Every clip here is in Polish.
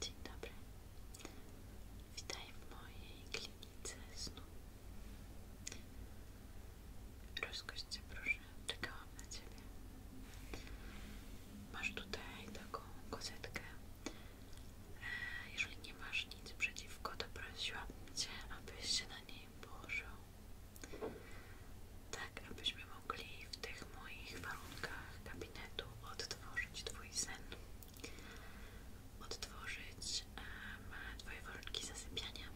Dzień dobry. Witaj w mojej klinice snu. Rozgość cię proszę, czekałam na ciebie. Masz tutaj taką kozetkę. E, jeżeli nie masz nic przeciwko, to prosiłabym cię, abyś się na niej położył. Tak, abyśmy mogli w tych moich warunkach kabinetu, od odtworzyć Twój sen, odtworzyć e, Twoje warunki zasypiania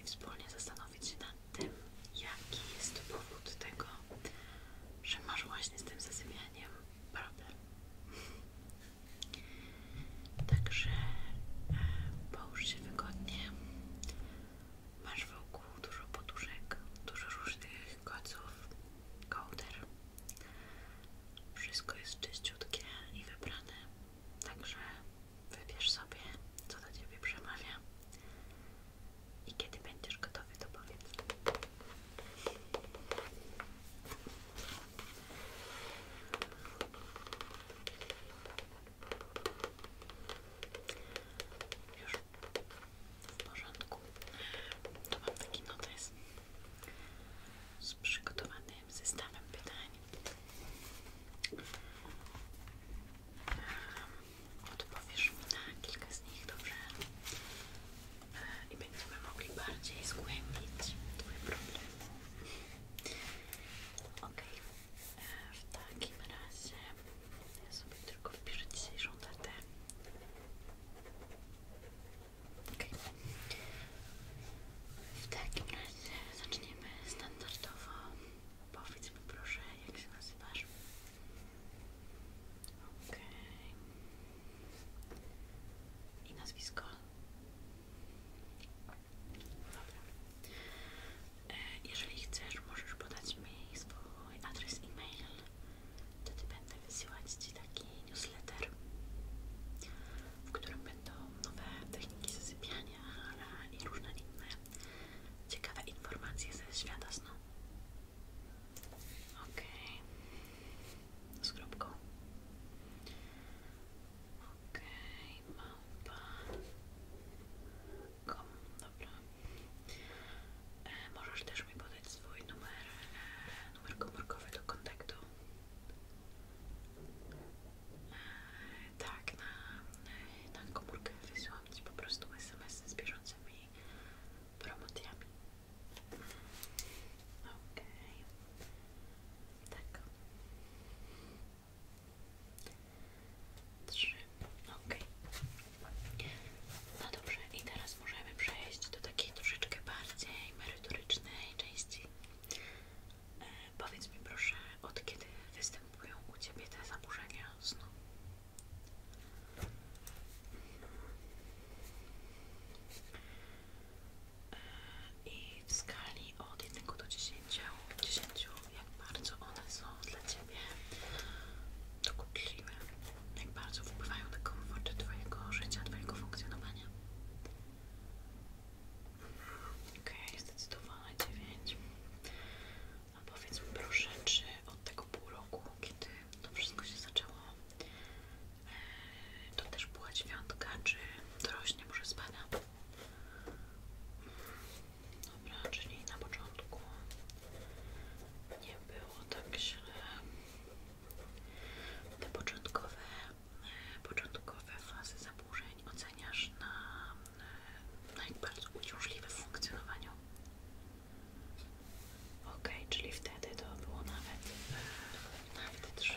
i wspólnie zastanowić się nad tym, jaki jest powód tego, że masz właśnie z tym zasypianiem problem. Także e, połóż się wygodnie. Masz wokół dużo poduszek, dużo różnych moich koców, Wszystko jest czyściutkie i wybrane, także wybierz sobie, co do Ciebie przemawia. I kiedy będziesz gotowy, to powiedz. Już w porządku. To mam taki notes z przygotowanym zestawem pytań. Odpowiesz mi na kilka z nich, dobrze? E, I będziemy mogli bardziej zgłębić Twój problem. Ok, e, w takim razie ja sobie tylko wpiszę dzisiejszą datę. Okay. W takim razie zaczniemy standardowo. Powiedzmy mi proszę, jak się nazywasz. Okej. I nazwisko. Dobra. E, jeżeli chcesz, możesz podać mi swój adres e-mail Wtedy będę wysyłać Ci taki newsletter, w którym będą nowe techniki zasypiania, ale i różne inne ciekawe informacje ze świata snu. Ok, z kropką. Ok, małpa. Dobrze, dobra. E, możesz też mi podać swój numer, e, numer komórkowy do kontaktu. E, tak, na, na komórkę wysyłam Ci po prostu SMS z bieżącymi promocjami. Okej. Okay. Tak. Trzy. Okej. No dobrze, i teraz możemy przejść do takiej troszeczkę bardziej merytorycznej części. E, powiedz mi proszę, od kiedy występują u Ciebie te zaburzenia snu? E, I w skali od 1 do 10, 10 jak bardzo one są dla ciebie? Ciebie dokuczliwe, jak bardzo wpływają na komfort Twojego życia, Twojego funkcjonowania. Okej, okay, zdecydowana 9. A powiedz mi proszę, czy od tego pół roku, kiedy to wszystko się zaczęło, e, to też była dziewiątka, czy to rośnie, może spada? Dobra, czyli na początku nie było tak źle. Te początkowe, e, początkowe fazy zaburzeń oceniasz na, e, na jak bardzo uciążliwe w funkcjonowaniu. Ok, czyli wtedy to było nawet, e, nawet 3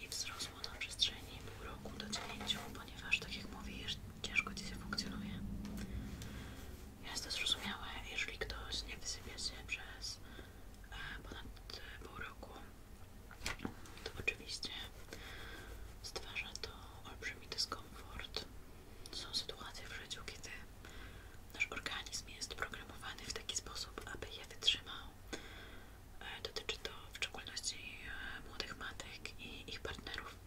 i wzrosło na przestrzeni pół roku do 9, ponieważ tak jak mówisz, ciężko Ci się funkcjonuje. Jest to zrozumiałe, jeżeli ktoś nie wysypie się przez e, ponad pół roku, to oczywiście stwarza to olbrzymi dyskomfort. Są sytuacje w życiu, kiedy nasz organizm jest programowany w taki sposób, aby je wytrzymał. E, dotyczy to w szczególności e, młodych matek i ich partnerów.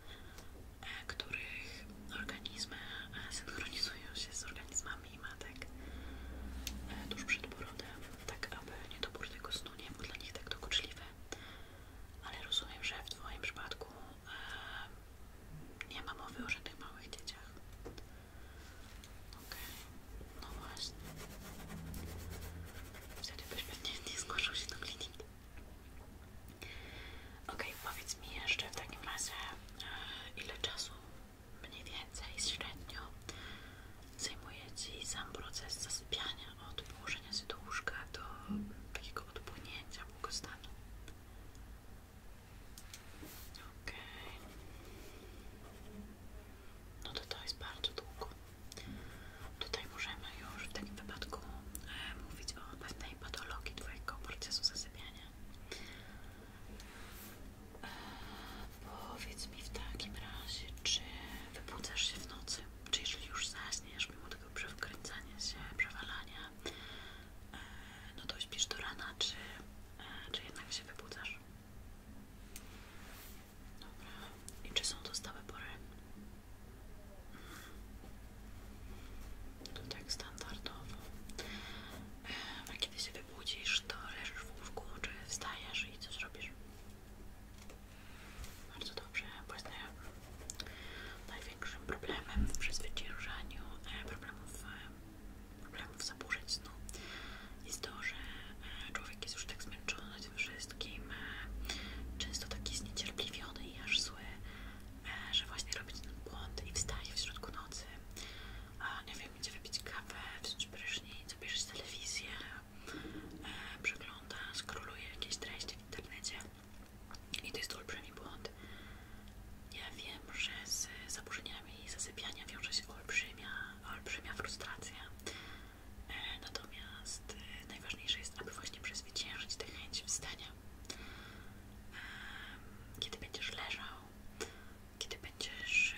E, których organizmy e, synchronizują się z organizmami matek e, tuż przed porodem, tak aby niedobór tego snu nie był dla nich tak dokuczliwe Ale rozumiem, że w Twoim przypadku nie ma mowy o żadnych małych dzieciach. Okej, no właśnie. Wtedy byś pewnie nie zgłaszał się do kliniki. Ok, powiedz mi jeszcze w takim razie, e, ile czasu mniej więcej średnio zajmuje Ci sam proces zasypiania od położenia się do łóżka do takiego odpłynięcia błogostanu. Okej. Okay. No to to jest bardzo długo. Tutaj możemy już w takim wypadku e, mówić o pewnej patologii Twojego procesu zasypiania. E, powiedz mi w takim razie, czy wybudzasz się w nocy? Czy jeżeli już zaśniesz, mimo tego przewkręcania się, przewalania, e, no to śpisz do rana, czy, e, czy jednak się wybudzasz? Dobra. I czy są to stałe pory? Tu tak standardowo. A kiedy się wybudzisz, to leżysz w łóżku, czy wstajesz i coś robisz? Bardzo dobrze, bo największym problemem w przezwyciężaniu e, problemów, e, problemów zaburzeń snu jest to, że e, człowiek jest już tak zmęczony tym wszystkim, często taki zniecierpliwiony i aż zły, E, że właśnie robić ten błąd i wstaje w środku nocy, a nie wiem, idzie wypić kawę, wziąć prysznic, obejrzeć telewizję, e, przegląda, skroluje jakieś treści w internecie i to jest olbrzymi błąd. Ja wiem, że z zaburzeniami zasypiania wiąże się olbrzymia, olbrzymia frustracja. E, natomiast najważniejsze jest, aby właśnie przezwyciężyć tę chęć wstania kiedy będziesz leżał, kiedy będziesz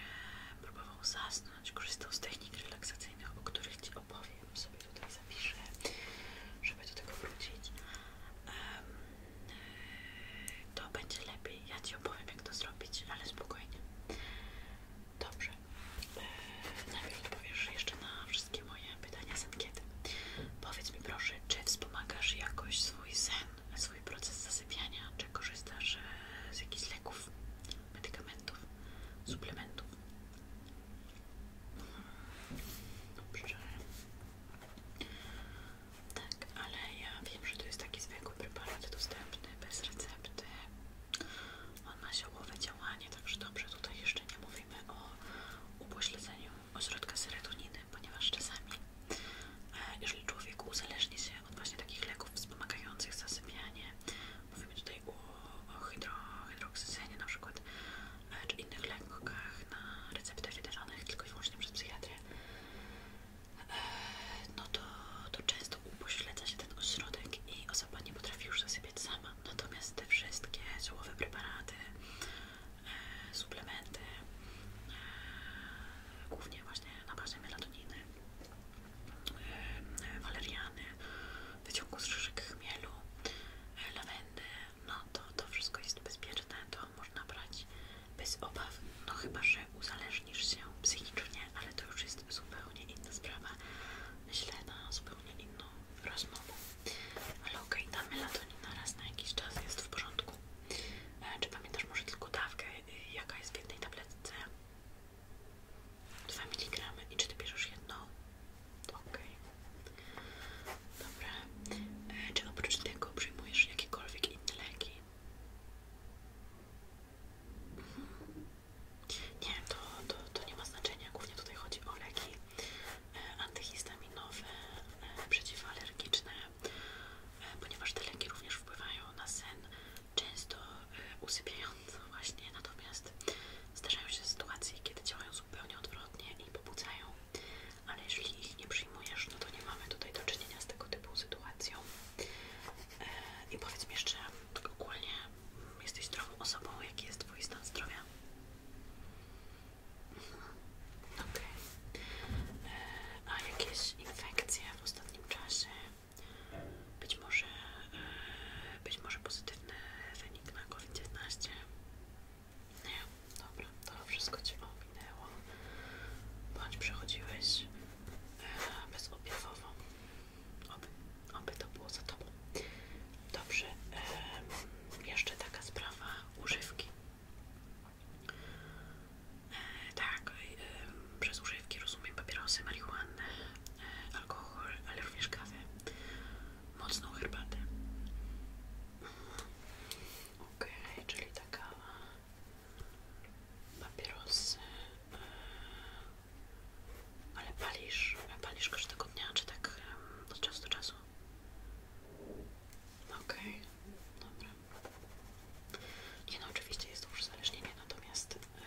próbował zasnąć, korzystał z technik relaksacyjnych, o których Ci opowiem, sobie tutaj zapiszę, żeby do tego wrócić, e, to będzie lepiej. Ja Ci opowiem, jak to zrobić, ale spokojnie. Dobrze. E, najpierw odpowiesz jeszcze na wszystkie moje pytania z ankiety. Powiedz mi proszę, czy wspomagasz jakoś swój sen, swój proces zasypiania, czy korzystasz e, z jakichś leków, medykamentów, suplementów? Dobrze. Tak, ale ja wiem, że to jest taki zwykły preparat dostępny, bez recepty. On ma ziołowe działanie, także dobrze, tutaj jeszcze nie mówimy o upośledzeniu ośrodka serotoniny, ponieważ czasami, e, jeżeli człowiek uzależni się od właśnie takich leków wspomagających zasypianie, mówimy tutaj o, o na przykład, e, czy innych lekach na receptę wydawanych tylko i wyłącznie przez psychiatrę, e, no to, to często upośledza się ten ośrodek i osoba nie potrafi już zasypiać sama. Natomiast te wszystkie ziołowe preparaty, suplementy, głównie właśnie na bazie melatoniny, waleriany, wyciągu z szyszek chmielu, lawendy, no to to wszystko jest bezpieczne, to można brać bez obaw, no chyba, że uzależnisz się psychicznie, ale to już jest zupełnie inna sprawa, myślę na zupełnie inną rozmową. Ale okej, okay, ta melatonina raz na jakiś czas jest w porządku. E, czy pamiętasz może tylko dawkę, y, jaka jest w jednej tabletce? Dwa mg. I czy ty bierzesz jedną? Okej. Okay. Dobra. E, czy oprócz tego przyjmujesz jakiekolwiek inne leki? Mhm. Nie, to, to nie ma znaczenia. Głównie tutaj chodzi o leki E, antyhistaminowe, e, przeciwalergiczne, e, ponieważ te leki również wpływają na sen, często usypiająco właśnie, natomiast zdarzają się sytuacje, kiedy działają zupełnie odwrotnie i pobudzają, ale jeżeli ich nie przyjmujesz, no to nie mamy tutaj do czynienia z tego typu sytuacją. I powiedz mi jeszcze, ogólnie jesteś zdrową osobą, jaki jest Twój stan zdrowia? Okej. A jakieś infekcje w ostatnim czasie? Być może, e, być może pozytywny wynik na COVID-19? Nie, dobra, to wszystko Cię ominęło. Bądź przechodziłeś e, bezobjawowo. Oby, oby to było za Tobą. Dobrze, jeszcze taka sprawa używki. E, tak, e, przez używki rozumiem papierosy, marihuanę, e, alkohol, ale również kawę, mocną herbatę. ok czyli taka papierosy, e, ale palisz, palisz każdego dnia, czy tak od czasu do czasu? Dobrze. Okej, okay. dobra. Nie no, oczywiście jest to uzależnienie, natomiast e,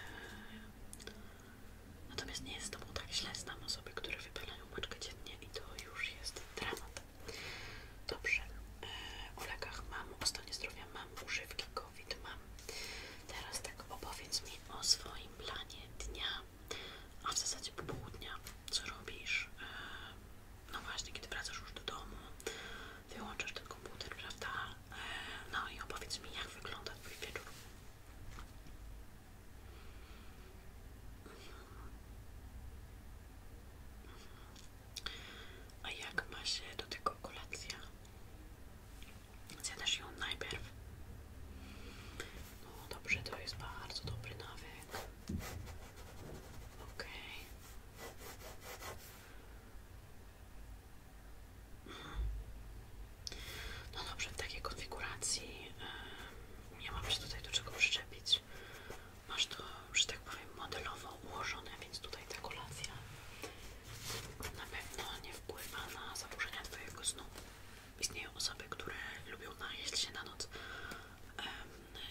natomiast nie jest to mu tak źle. Znam osoby, które wypalają paczkę dziennie i to już jest dramat. Dobrze. Yy, e, o mam, o stanie zdrowia mam, używki COVID mam. Teraz tak opowiedz mi o swoim planie dnia a w zasadzie po południu, co robisz? E, no właśnie, kiedy wracasz już do domu, wyłączasz ten komputer, prawda? E, no i opowiedz mi, jak wygląda Twój wieczór. A jak ma się do tego kolacja? Zjadasz ją najpierw? No dobrze, to jest bardzo dobry nawet. Okay. No dobrze, w takiej konfiguracji nie mam się tutaj do czego przyczepić. Masz to, że tak powiem, modelowo ułożone, więc tutaj ta kolacja na pewno nie wpływa na zaburzenia Twojego snu. Istnieją osoby, które lubią najeść się na noc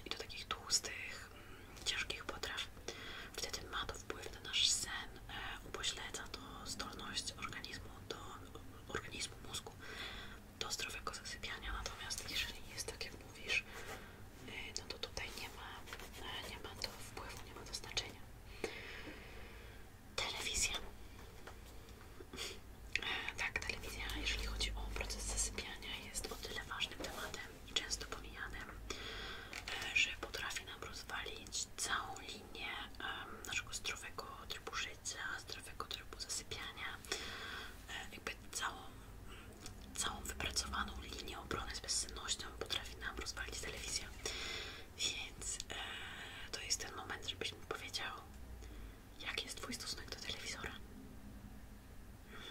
i do takich tłustych, mm, ciężkich potraw. Wtedy ma to wpływ na nasz sen, e, upośledza to zdolność organizmu, do, organizmu mózgu do zdrowego zasypiania. Natomiast jeżeli jest tak jak mówisz, e, no to tutaj nie ma, e, nie ma to wpływu, nie ma to znaczenia. Telewizja. Tak, telewizja, jeżeli chodzi o proces zasypiania, jest o tyle ważnym tematem i często pomijanym, e, że potrafi nam rozwalić całą linię naszego zdrowego trybu życia, zdrowego trybu zasypiania, e, jakby całą, całą wypracowaną linię obrony z bezsennością potrafi nam rozwalić telewizja. Więc e, to jest ten moment, żebyś mi powiedział, Jaki jest Twój stosunek do telewizora? Mhm.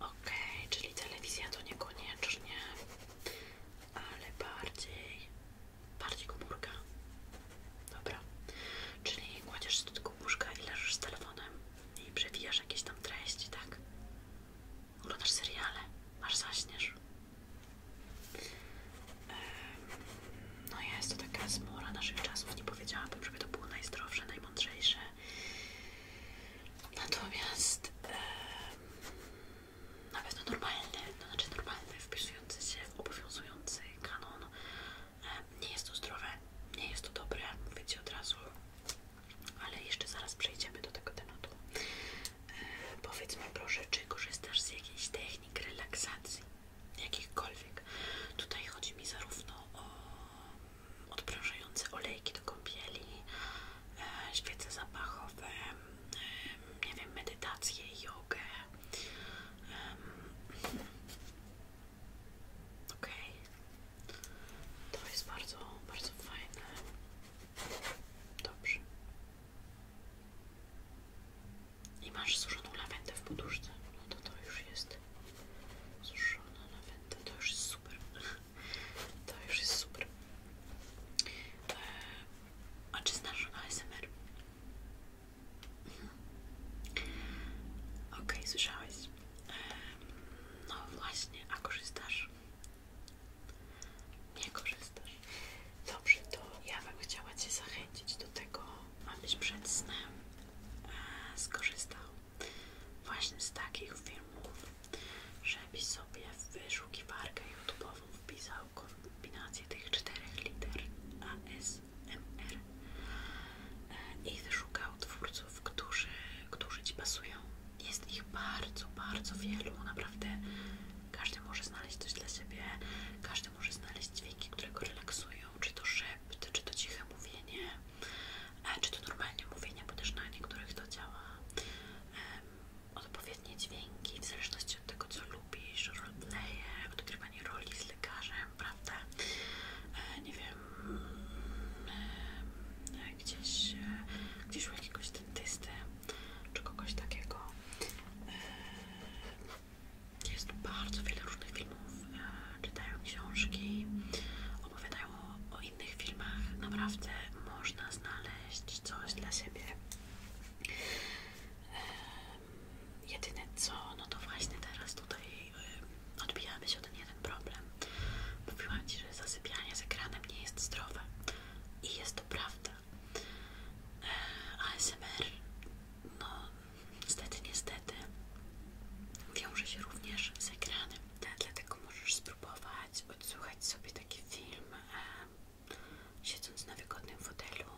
Okej, czyli telewizja to niekoniecznie, ale bardziej, bardziej komórka. Dobra, czyli kładziesz do tego łóżka i leżysz z telefonem i przewijasz jakieś tam treści, tak? Oglądasz seriale, aż zaśniesz. No jest to taka zmora naszych czasów, nie powiedziałabym, żeby to było najzdrowsze, najmądrzejsze. Natomiast nawet pewno normalny, to no znaczy normalny, wpisujący się w obowiązujący kanon. Nie jest to zdrowe, nie jest to dobre, mówicie od razu, ale jeszcze zaraz przejdziemy do tego tematu. Powiedzmy proszę, czy korzystasz z jakiejś technik relaksacji? jakichkolwiek. Tutaj chodzi mi zarówno o mm, odprężające olejki do kąpieli, e, świece zapachowe, e, nie wiem, medytację, jogę. Ok, to jest bardzo, bardzo fajne. Dobrze. I masz suszoną lawendę w poduszce. No to to już jest suszona lawenda. To już jest super. To już jest super. E, a czy znasz ASMR? Mhm. Okej, słyszałeś. no właśnie, a korzystasz? Nie korzystasz. Dobrze, to ja bym chciała Cię zachęcić do tego, abyś przed snem e, skorzystał właśnie z takich filmów, żebyś sobie w wyszukiwarkę YouTube'ową wpisał kombinację tych czterech liter ASMR e, i wyszukał twórców, którzy, którzy Ci pasują. Jest ich bardzo, bardzo wielu, naprawdę każdy może znaleźć coś dla siebie, każdy każdy może znaleźć dźwięki, które go relaksują, czy to szyb, czy to ciche mówienie, czy to normalnie mówienie, bo też na niektórych to działa. Odpowiednie dźwięki, w zależności od tego, co lubisz, roleplaye, odgrywanie roli z lekarzem, prawda? E, nie wiem, e, gdzieś, e, gdzieś u jakiegoś dentysty, czy kogoś takiego. Jest bardzo wiele różnych filmów, e, czytają książki, opowiadają o innych filmach. Naprawdę można znaleźć coś dla siebie. Jedyne co, no to właśnie teraz tutaj odbijamy się o ten jeden problem. Mówiłam Ci, że zasypianie z ekranem nie jest zdrowe. I jest to prawda. ASMR, no niestety, niestety wiąże się również z ekranem. Dlatego możesz spróbować odsłuchać sobie taki film e, siedząc na wygodnym fotelu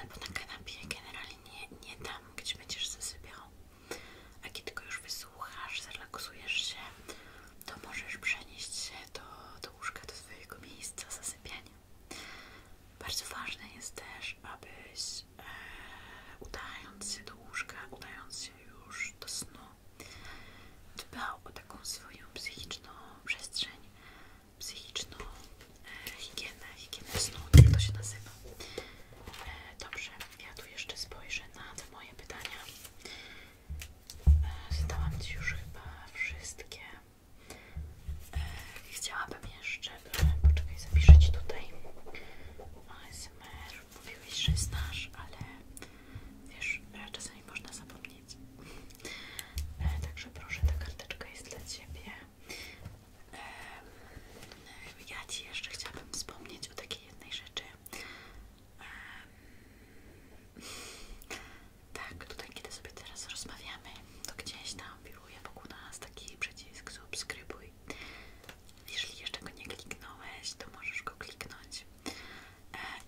albo na kanapie, generalnie nie, nie tam, gdzie będziesz zasypiał. A kiedy tylko już wysłuchasz, zrelaksujesz się, to możesz przenieść się do, do łóżka, do swojego miejsca zasypiania bardzo ważne jest też, abyś e, udając się do łóżka, udając się już do snu, dbał o taką swoją psychiczną przestrzeń, psychiczną e, higienę, higienę snu, tak to się nazywa. E, dobrze, ja tu jeszcze spojrzę na te moje pytania. E, zadałam Ci już chyba wszystkie. E, chciałabym jeszcze, poczekaj, zapiszę Ci tutaj ASMR. Mówiłeś, że znasz, ale wiesz, e, czasami można zapomnieć. E, także proszę, ta karteczka jest dla Ciebie. Ja Ci jeszcze chciałabym wspomnieć o takiej jednej rzeczy. Tak, tutaj kiedy sobie teraz rozmawiamy, to gdzieś tam wiruje wokół nas taki przycisk subskrybuj. Jeżeli jeszcze go nie kliknąłeś, to możesz go kliknąć. E,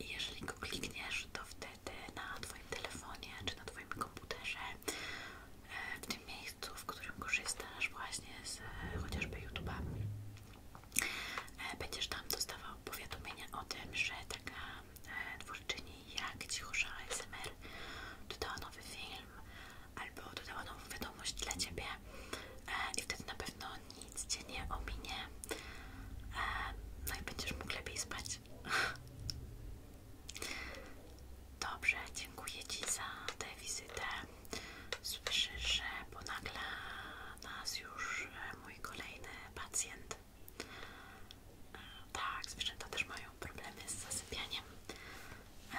I jeżeli go klikniesz, to wtedy na Twoim telefonie czy na Twoim komputerze, e, w tym miejscu, w którym korzystasz właśnie z e, chociażby YouTube'a, będziesz tam dostawał powiadomienia o tym, że taka twórczyni jak Cicho ASMR dodała nowy film albo dodała nową wiadomość dla Ciebie e, i wtedy na pewno nic Cię nie ominie e, no i będziesz mógł lepiej spać Dobrze, dziękuję Ci za tę wizytę. Słyszę, że bo nagle nas już e, mój kolejny pacjent tak, zwierzęta też mają problemy z zasypianiem. E,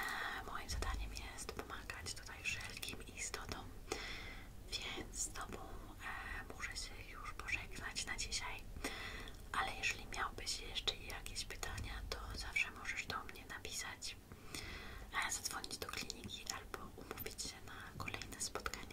moim zadaniem jest pomagać tutaj wszelkim istotom, więc z Tobą e, muszę się już pożegnać na dzisiaj. Ale jeżeli miałbyś jeszcze jakieś pytania, to zawsze możesz do mnie napisać, e, zadzwonić do kliniki albo umówić się na kolejne spotkanie.